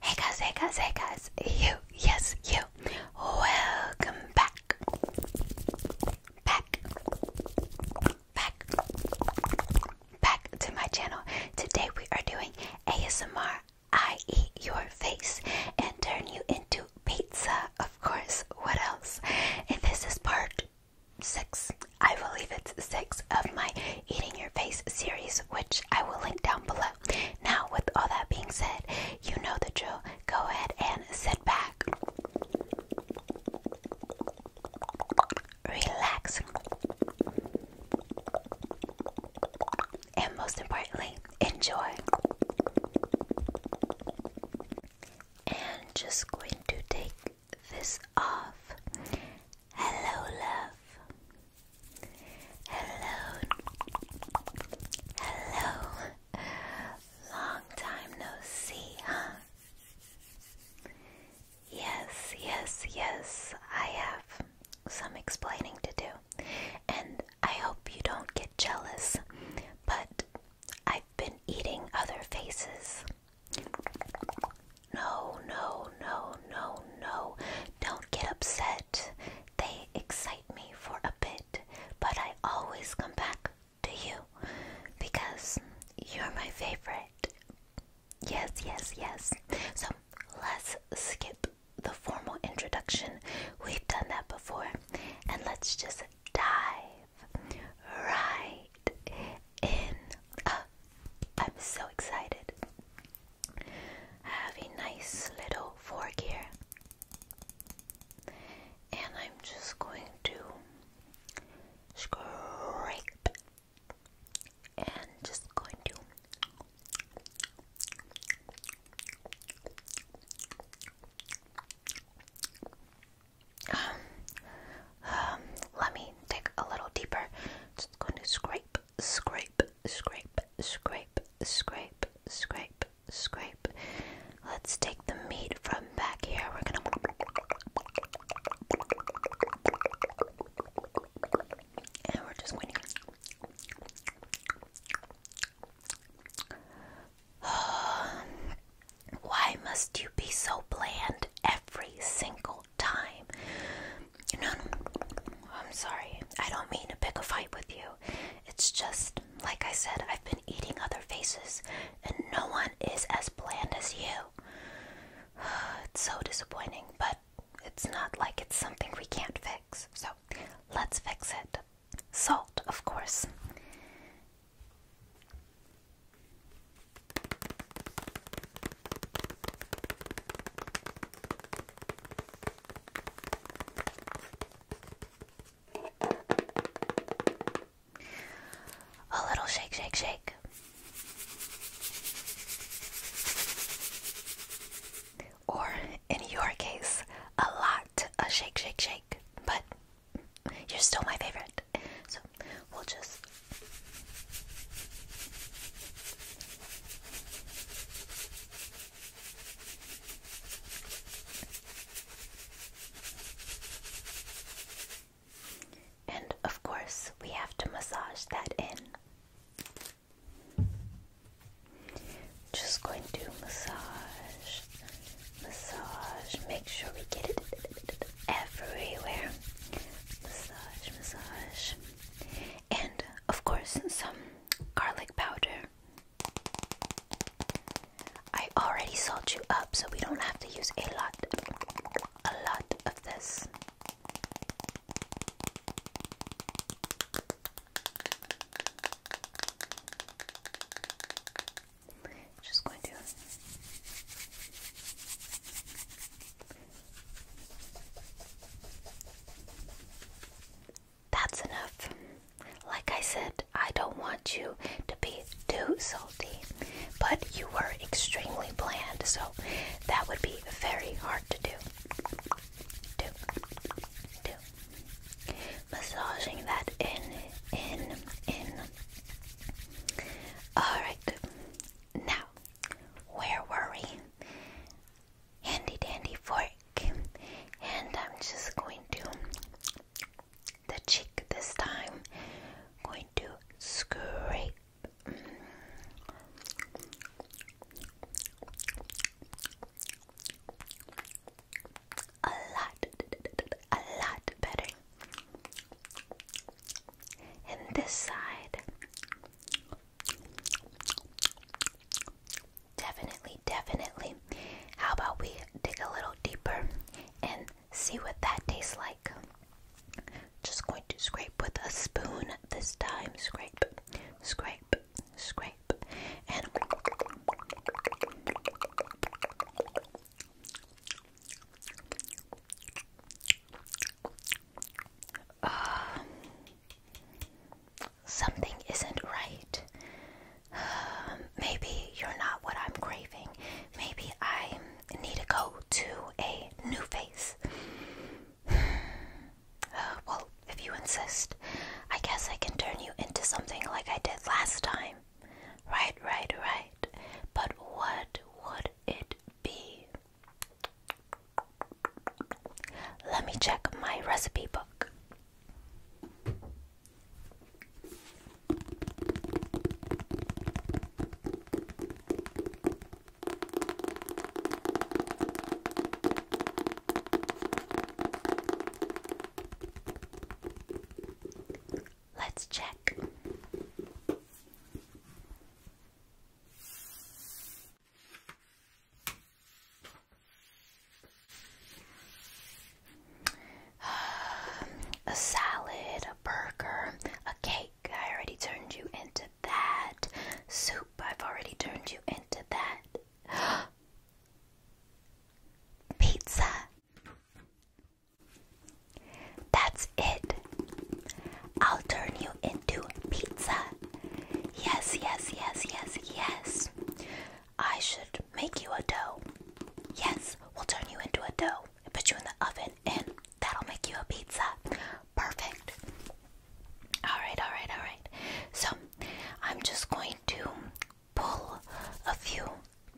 Hey guys, hey guys, hey guys, you, yes, you. Welcome back. Back. Back. Back to my channel. Today we are doing ASMR I eat your face and turn you into pizza, of course. What else? And this is part six, I believe it's six of my Eating Your Face series, which I will link down below. Now, with all that being said, you know the drill. Go ahead and sit back, relax, and most importantly, enjoy. And just going to take this off. Hello, love. Hello. Hello. Long time no see, huh? Yes, yes, yes. I have some explaining to do. And I hope you don't get jealous, but I've been eating other faces. No, no, no, no, no. Don't get upset. They excite me for a bit, but I always come back to you because you're my favorite. Yes, yes, yes. So let's skip the formal introduction. We've done that before. And let's just dive right in. Oh, I'm so excited. I have a nice little fork here, and I'm just going to scrape and just going to. Um, um, let me dig a little deeper. Just going to scrape, scrape, scrape, scrape, scrape, scrape, scrape. Let's take the meat from back here. We're gonna. And we're just going to. Why must you be so bland every single time. no, no, I'm sorry. I don't mean to pick a fight with you. It's just, like I said, I've been eating other faces, and no one is as bland as you. It's so disappointing, but it's not like it's something we can't fix. So let's fix it. Salt, of course. A little shake, shake, shake. Or, in your case, a lot, a shake, shake, shake. But you're still my favorite. So we'll just and of course, we have to massage that in. Just going to massage, massage, make sure we get it everywhere. Massage, massage. And of course, some garlic powder. I already salted you up, so we don't have to use a lot, a lot of this. Just going to that's enough. Like I said, I don't want you to be too salty, but you were extremely bland, so that would be very hard to do. Do, do. Massaging that in, in, in. Alright, now where were we? Handy dandy fork. And I'm just going to the cheek this time. Going to scrape. Mm. A lot, a lot better and this side. Definitely, definitely. How about we dig a little deeper and see what that tastes like? Just going to scrape with a spoon this time. Scrape, scrape, scrape, and uh, something isn't right. Uh, maybe you're not what I'm craving. Maybe I need to go to a new face. Uh, well, if you insist, I guess I can turn you into something like I did last time. Right, right, right. But what would it be? Let me check my recipe book. Let's check. a salad, a burger, a cake. I already turned you into that. Soup, I've already turned you into that. Pizza. That's it. I'll turn you into pizza. Yes, yes, yes, yes, yes. I should make you a dough. Yes, we'll turn you into a dough and put you in the oven, and that'll make you a pizza. Perfect. Alright, alright, alright. So, I'm just going to pull a few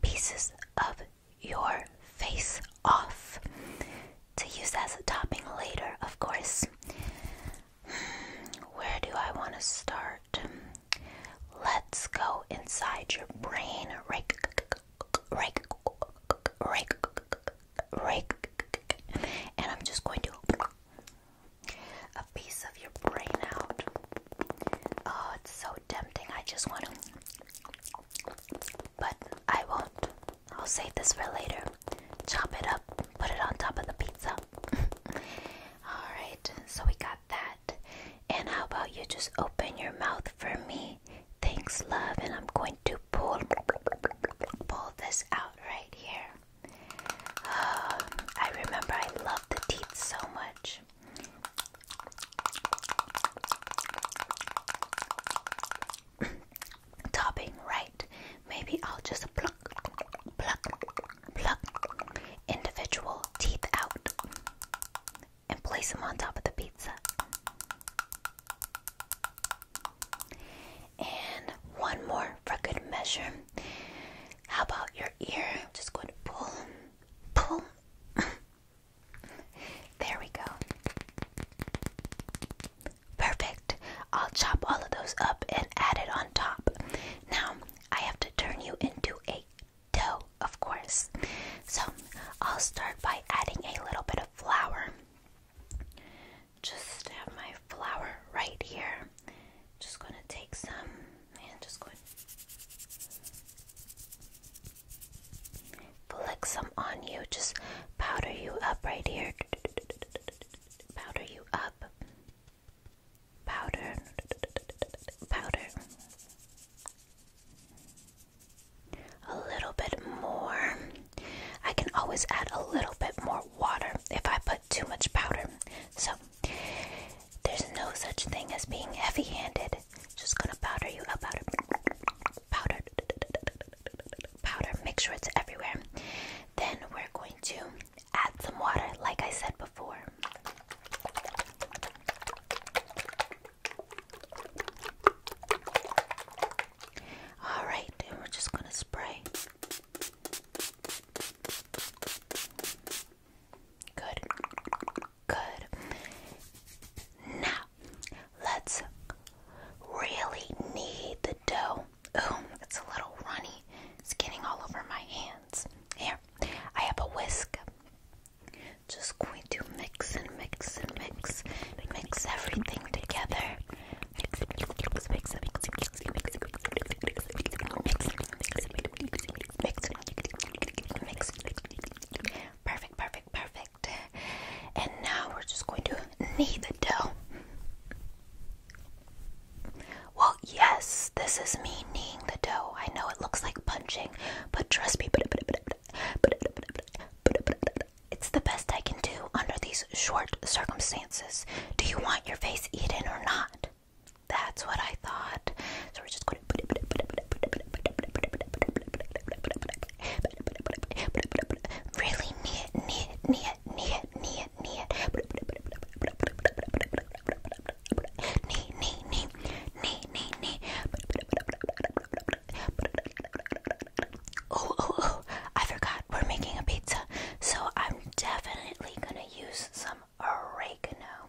pieces of your face off to use as a topping later, of course. Where do I want to start? Let's go inside your brain. Rake, rake, rake, rake, and I'm just going to a piece of your brain out. Oh, it's so tempting. I just want to, but I won't. I'll save this for later. Chop it up, put it on top of the pizza. Alright, so we got that. And how about you just open your mouth for me? Thanks, love. And I'm going to pull, pull this out right here. Oh, I remember I love the teeth so much topping, right? Maybe I'll just pluck, pluck, pluck individual teeth out and place them on top of the pizza. And one more for good measure. How about your ear? I'm just going to pull, pull, there we go. Perfect. I'll chop all of those up and add it on top. Now, I have to turn you into a dough, of course. So, I'll start by adding a little bit of flour. Just have my flour right here. Just going to take some and just going Flick some on you. Just powder you up right here. Powder you up. Powder. Powder. A little bit more. I can always add a little bit more water if I put too much powder. So there's no such thing as being heavy handed. Just gonna powder you up, powder, powder powder make sure it's everywhere then we're going to add some water like i said before all right we're just going to spray good good now let's really knead the dough. Ooh, it's a little runny. It's getting all over my hands. Here, I have a whisk. Just going to mix and mix and mix, mix everything together. Mix, mix, mix, mix, mix, mix, mix, mix, mix, mix, mix, mix, perfect, perfect, perfect perfect. And now we're just going to knead the dough. Well, yes, this is me kneading the dough. I know it looks like punching, but trust me, it's the best I can do under these short circumstances. Do you want your face eaten or not? That's what I thought. So we're just going to. Really neat, neat, neat, neat, neat, neat. Oh, oh, oh! I forgot we're making a pizza, so I'm definitely gonna use some oregano.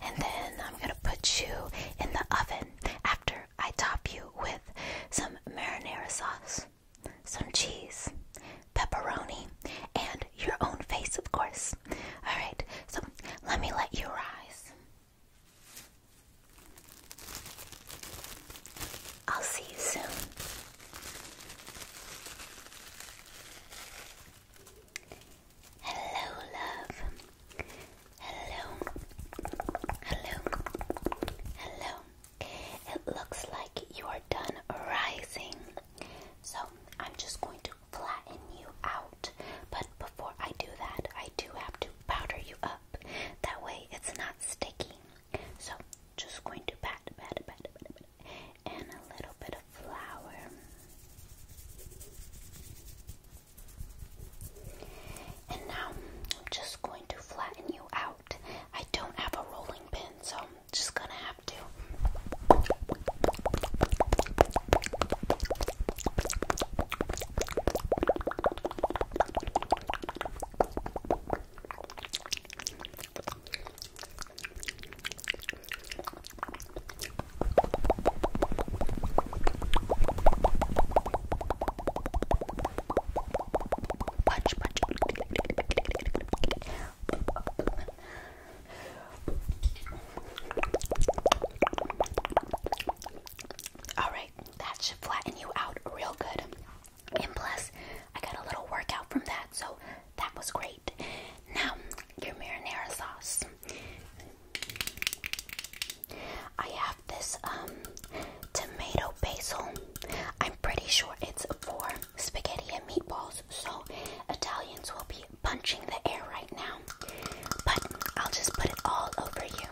and then I'm gonna put you in the oven after I top you with some marinara sauce, some cheese, pepperoni, and your own face, of course. Alright, so let me let you rise. I'll see you soon. Hello, love. Hello. Hello. Hello. It looks like you are done rising. So I'm just going to flatten you out. But before I do that, I do have to powder you up. That way it's not sticky. So just going to pat, pat, pat, pat, pat and a little bit of flower. And now I'm just going to flatten you out. I don't have a rolling pin, so I'm just gonna have to. Punch, punch. All right, that should flatten you out real good. And plus, I got a little workout from that, so that was great. Now, your marinara sauce. I have this um, tomato basil. I'm pretty sure it's for spaghetti and meatballs, so Italians will be punching the air right now. But I'll just put it all over you.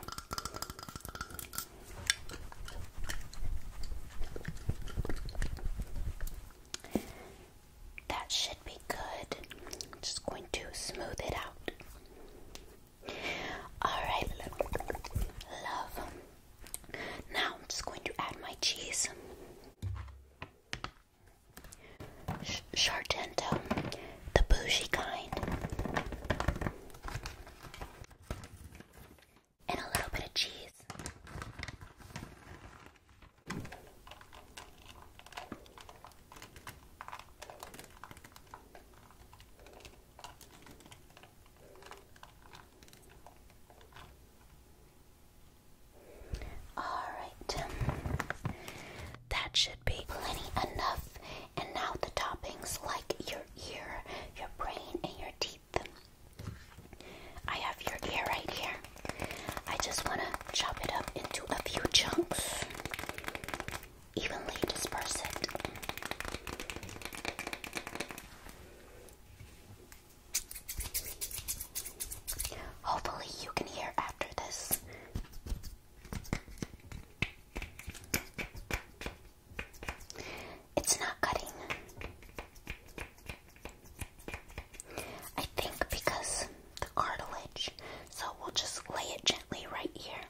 That should be good. I'm just going to smooth it out. Alright, love. Now I'm just going to add my cheese. Sh Shargento, the bougie kind. And a little bit of cheese. All right, that should be plenty enough. And now the toppings like your ear, your brain, and your teeth. I have your ear right here. I just want to chop it up into a few chunks, evenly disperse it. Hopefully, you can hear after this. It's not cutting. I think because the cartilage, so we'll just lay it gently right here.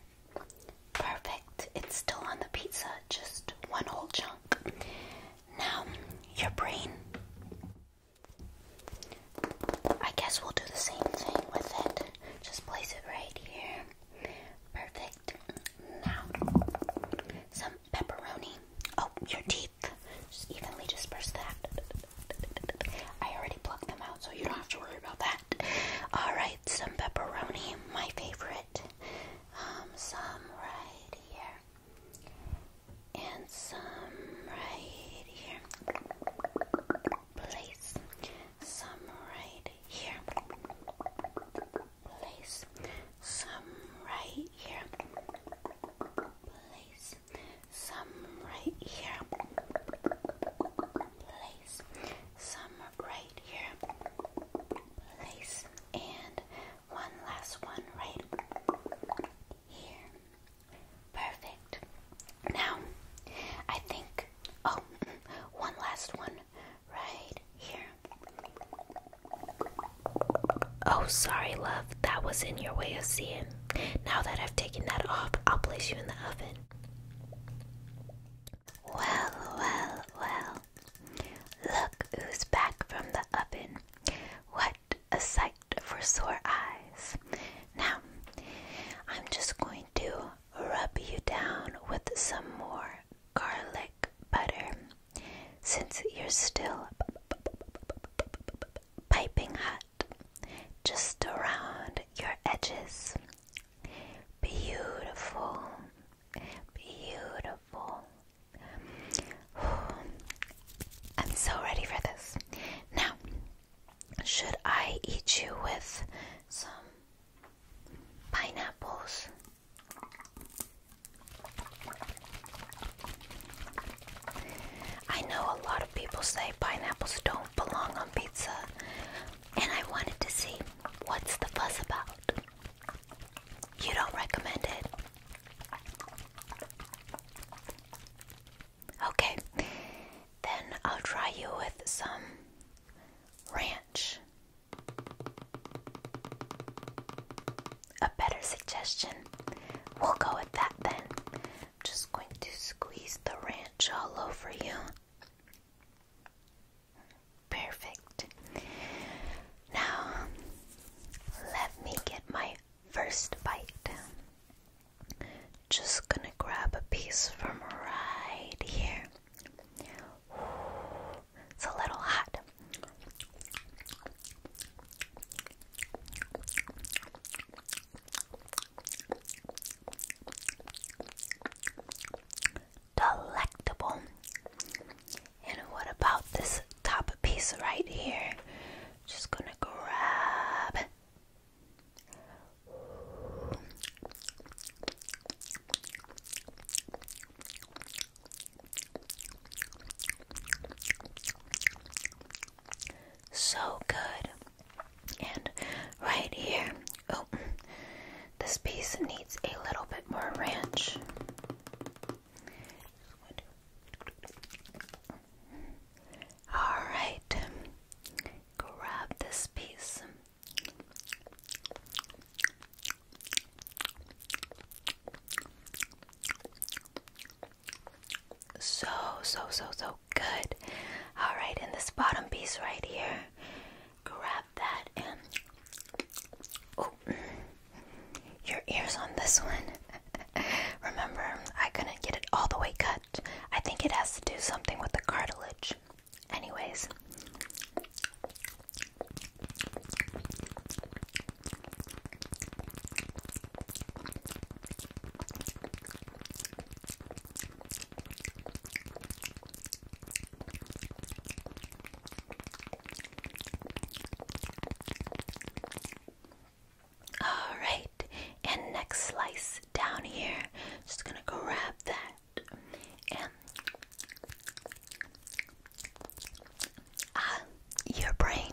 Perfect. It's still on the pizza, just one whole chunk. Now, your brain. I guess we'll do the same thing with it. Just place it right here. Perfect. Now, some pepperoni. Oh, your teeth. Just evenly disperse that. I already plucked them out, so you don't have to worry about that. Alright, some pepperoni, my favorite. Um, some right here. And some right here. Place. Some right here. Place. Some right here place some right here place some right here place and one last one right here perfect now I think oh one last one right here Oh, sorry, love. That was in your way of seeing. Now that I've taken that off, I'll place you in the oven. Well, well, well. Look who's back from the oven. What a sight for sore eyes. Now, I'm just going to rub you down with some more garlic butter. Since you're still piping hot, just around your edges. Beautiful, beautiful. I'm so ready for this. Now, should I eat you with some pineapples? I know a lot of people say pineapples don't belong on pizza, and I wanted to see what's the fuss about. You don't recommend it? Okay, then I'll try you with some ranch. A better suggestion. We'll go with that then. I'm just going to squeeze the ranch all over you. Perfect. Now, let me get my first bite. Just gonna grab a piece from right here. It's a little hot. Delectable. And what about this top piece right here? Just gonna grab. So good. And right here, oh, this piece needs a little bit more ranch. Alright, grab this piece. So, so, so, so good. Alright, in this bottom piece right here, grab that and. Oh, your ears on this one. Remember, I couldn't get it all the way cut. I think it has to do something with the cartilage. Anyways. All right, and next slice down here, just gonna grab that and uh, your brain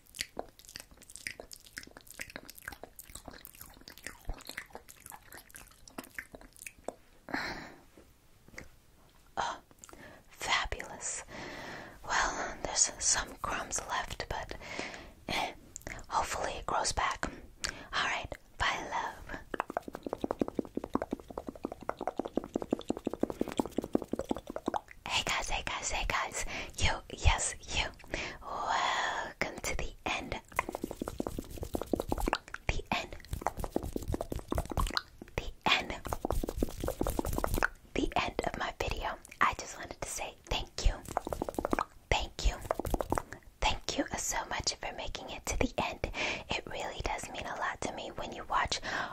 Oh, fabulous. Well, there's some crumbs left, but eh, hopefully it grows back. Alright, bye, love. Hey guys, hey guys, hey guys. You, yes, you. Welcome to the end. The end. The end. The end of my video. I just wanted to say thank you. Thank you. Thank you so much for making it to the end. It really does mean a lot to me when you watch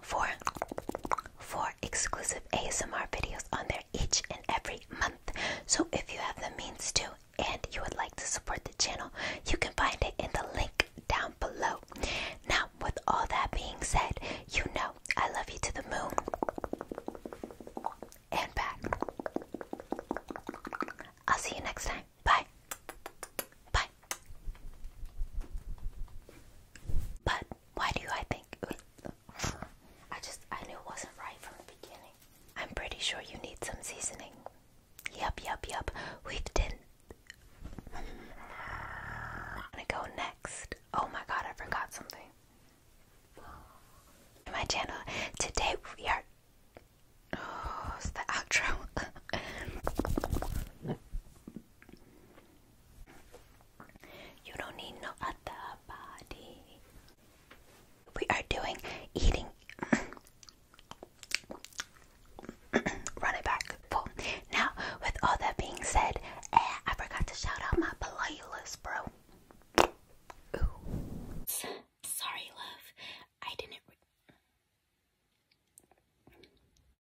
for four exclusive ASMR videos on there each and every month. So if you have the means to and you would like to support the channel, you can find it in the link down below. Now, with all that being said, you know I love you to the moon and back. I'll see you next time. Bye. Bye. But why do I think? I just I knew it wasn't right from the beginning. I'm pretty sure you need some seasoning. Yup, yup, yup. We have done. I'm gonna go next. Oh my god, I forgot something. My channel today we are. Oh, it's the outro. You don't need no other body. We are doing eating. Run it back. Now, with all that being said, eh, I forgot to shout out my playlist, bro. Sorry, love. I didn't.